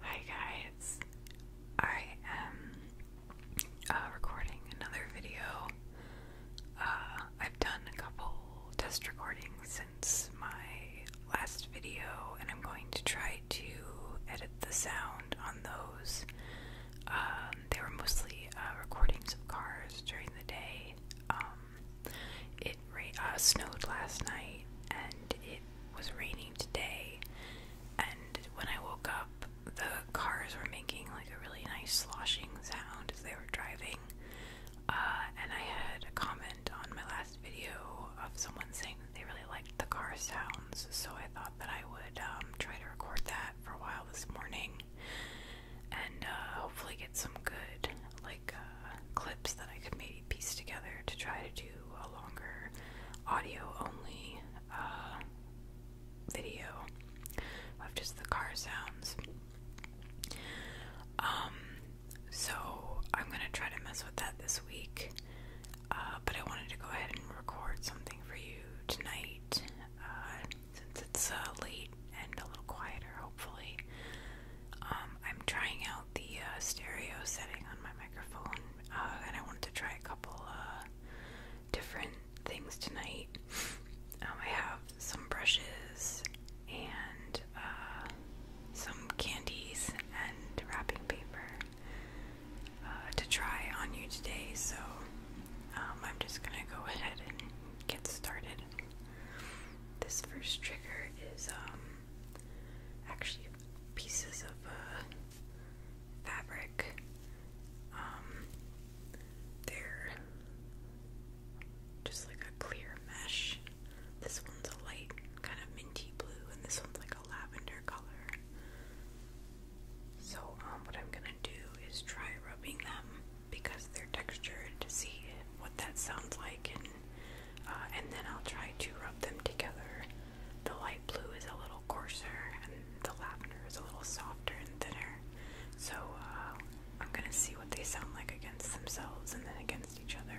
Hi guys, I am uh, recording another video. Uh, I've done a couple test recordings since my last video, and I'm going to try to edit the sound on those. Um, they were mostly uh, recordings of cars during the day. Um, it snowed last night, and it was raining today, and when I woke up, the cars were making like a really nice sloshing sound as they were driving. Uh, and I had a comment on my last video of someone saying that they really liked the car sounds, so I thought that I would um, try to record that for a while this morning and uh, hopefully get some good, like, uh, clips that I could maybe piece together to try to do a longer audio only uh, video of just the car sounds. Um, so I'm gonna try to mess with that this week, uh, but I wanted to go ahead and record something for you tonight since it's late and a little quieter, hopefully. Um, I'm trying out the uh, stereo setting on my microphone, uh, and I want to try a couple uh, different things tonight. Um, I have some brushes and some candies and wrapping paper to try on you today, so um, I'm just gonna go ahead and get started. This first trigger is um, actually pieces of uh, fabric. Um, they're just like a clear mesh. This one's a light kind of minty blue, and this one's like a lavender color. So, um, what I'm gonna do is try rubbing them because they're textured to see what that sounds like and uh, and then I'll try to rub them together. The light blue is a little coarser, and the lavender is a little softer and thinner. So uh, I'm gonna see what they sound like against themselves and then against each other.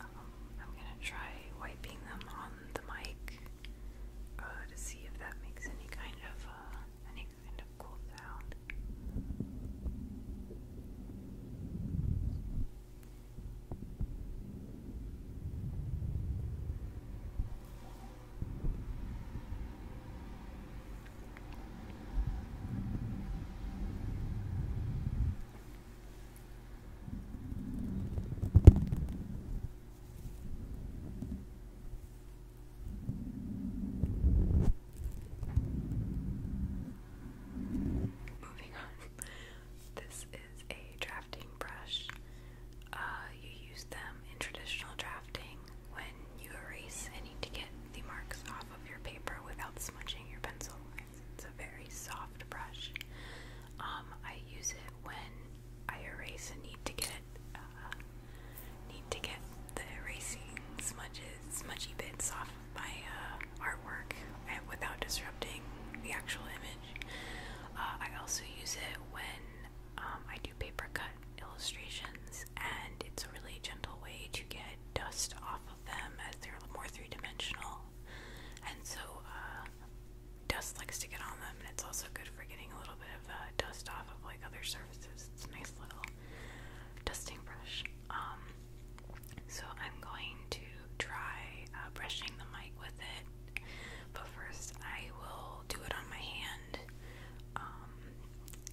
Uh -oh, I'm going to try wiping them on the mic uh, to see if that makes any kind of uh, any kind of cool sound. Moving on this is a drafting brush. Uh, you use them in traditional drafting when you erase and need to get the marks off of your paper without smudging your pencil. It's a very soft brush. Um, I use it when I erase and need to get uh, need to get the erasing smudges, smudgy bits off my uh, artwork and without disrupting the actual image. Uh, I also use it when um, I do paper cut illustrations, and it's a really gentle way to get dust off of them as they're more three dimensional. And so uh, dust likes to get on them, and it's also good for getting a little bit of uh, dust off of like other surfaces. It's a nice little dusting brush. Um, so I'm going to try brushing the mic with it but first, I will do it on my hand, um,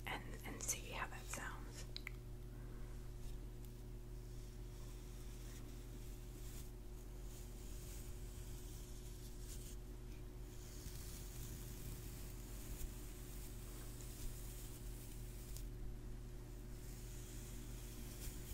and and see how that sounds.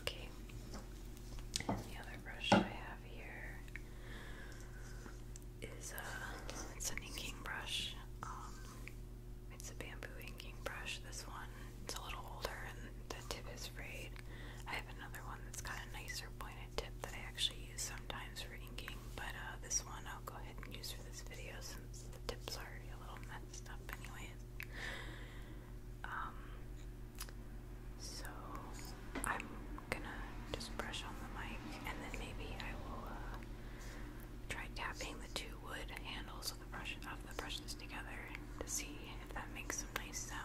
Okay, and the other brush I have here uh, it's an inking brush. Um, it's a bamboo inking brush. This one it's a little older and the tip is frayed. I have another one that's got a nicer pointed tip that I actually use sometimes for inking, but uh, this one I'll go ahead and use for this video since the tips are a little messed up, anyways. Um, so I'm gonna just brush on the mic and then maybe I will uh, try tapping the two wood handles of the brushes together to see if that makes some nice sounds.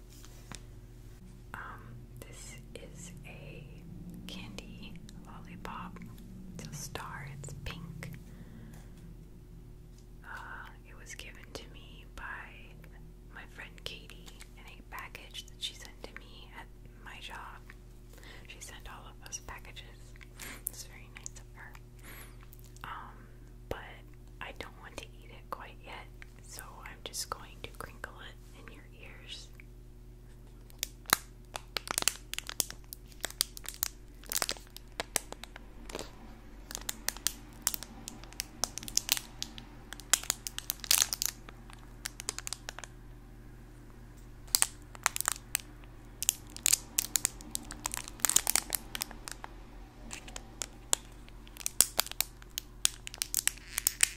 Um, this is a candy lollipop. It's a star, it's pink. Uh, it was given to me by my friend Katie in a package that she sent to me at my job. She sent all of us packages. It's very nice of her. Um, but I don't want to eat it quite yet so I'm just going to crinkle it in your ears.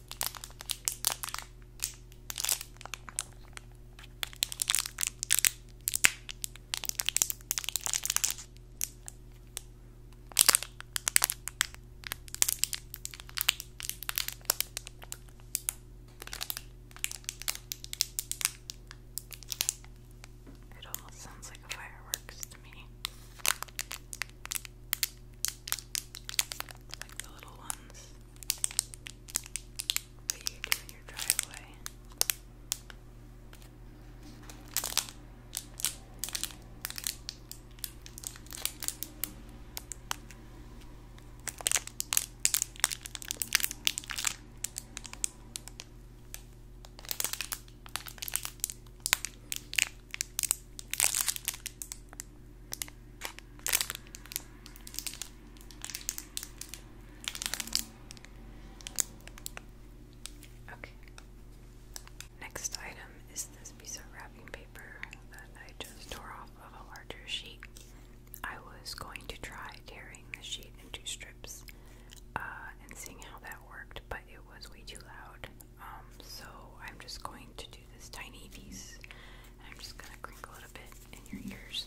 It almost sounds like a fireworks to me. Like the little ones that you do in your driveway. Okay. Next item is this piece of wrapping paper that I just tore off of a larger sheet. I was going to try tearing the sheet into strips uh, and seeing how that worked, but it was way too loud um, so I'm just going to do this tiny piece I'm just gonna crinkle it a bit in your ears.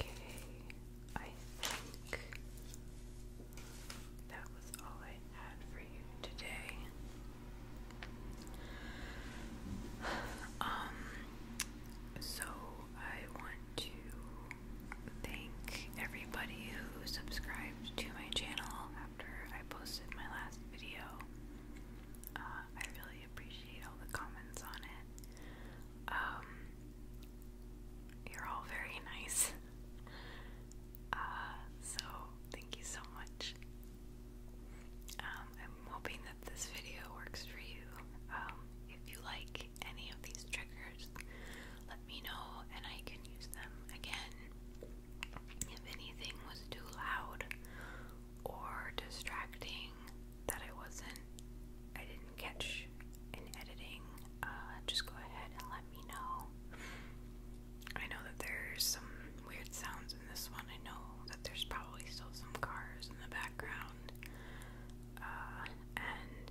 Okay, I think that was all I had for you today. Um, so I want to thank everybody who subscribed to my channel after I posted my last video. Uh, I really appreciate all the comments on it. Um, you're all very nice. Uh, so, thank you so much. Um, I'm hoping that this video works for you. Um, if you like any of these triggers, let me know and I can use them again. If anything was too loud or distracting that I wasn't, I didn't catch in editing, uh, just go ahead and let me know. I know that there's some weird sounds in this one. I know that there's probably still some cars in the background. Uh, and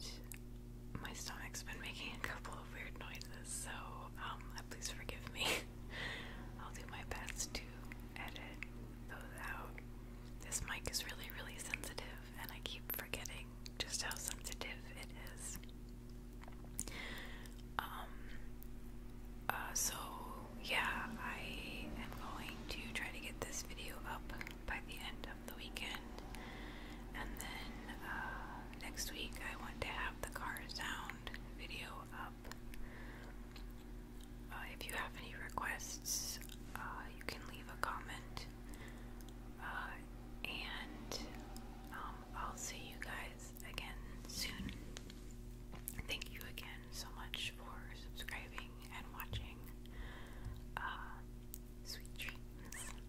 my stomach's been making a couple of weird noises, so um, please forgive me. I'll do my best to edit those out. This mic is really, really sensitive, and I keep forgetting just how sensitive it is. Um, uh, so yeah, I am going to try to get this video up by the end of the weekend, and then uh, next week I want to have the car sound video up. Uh, if you have any requests, uh, you can leave a comment. Uh, and um, I'll see you guys again soon. Thank you again so much for subscribing and watching. sweet dreams.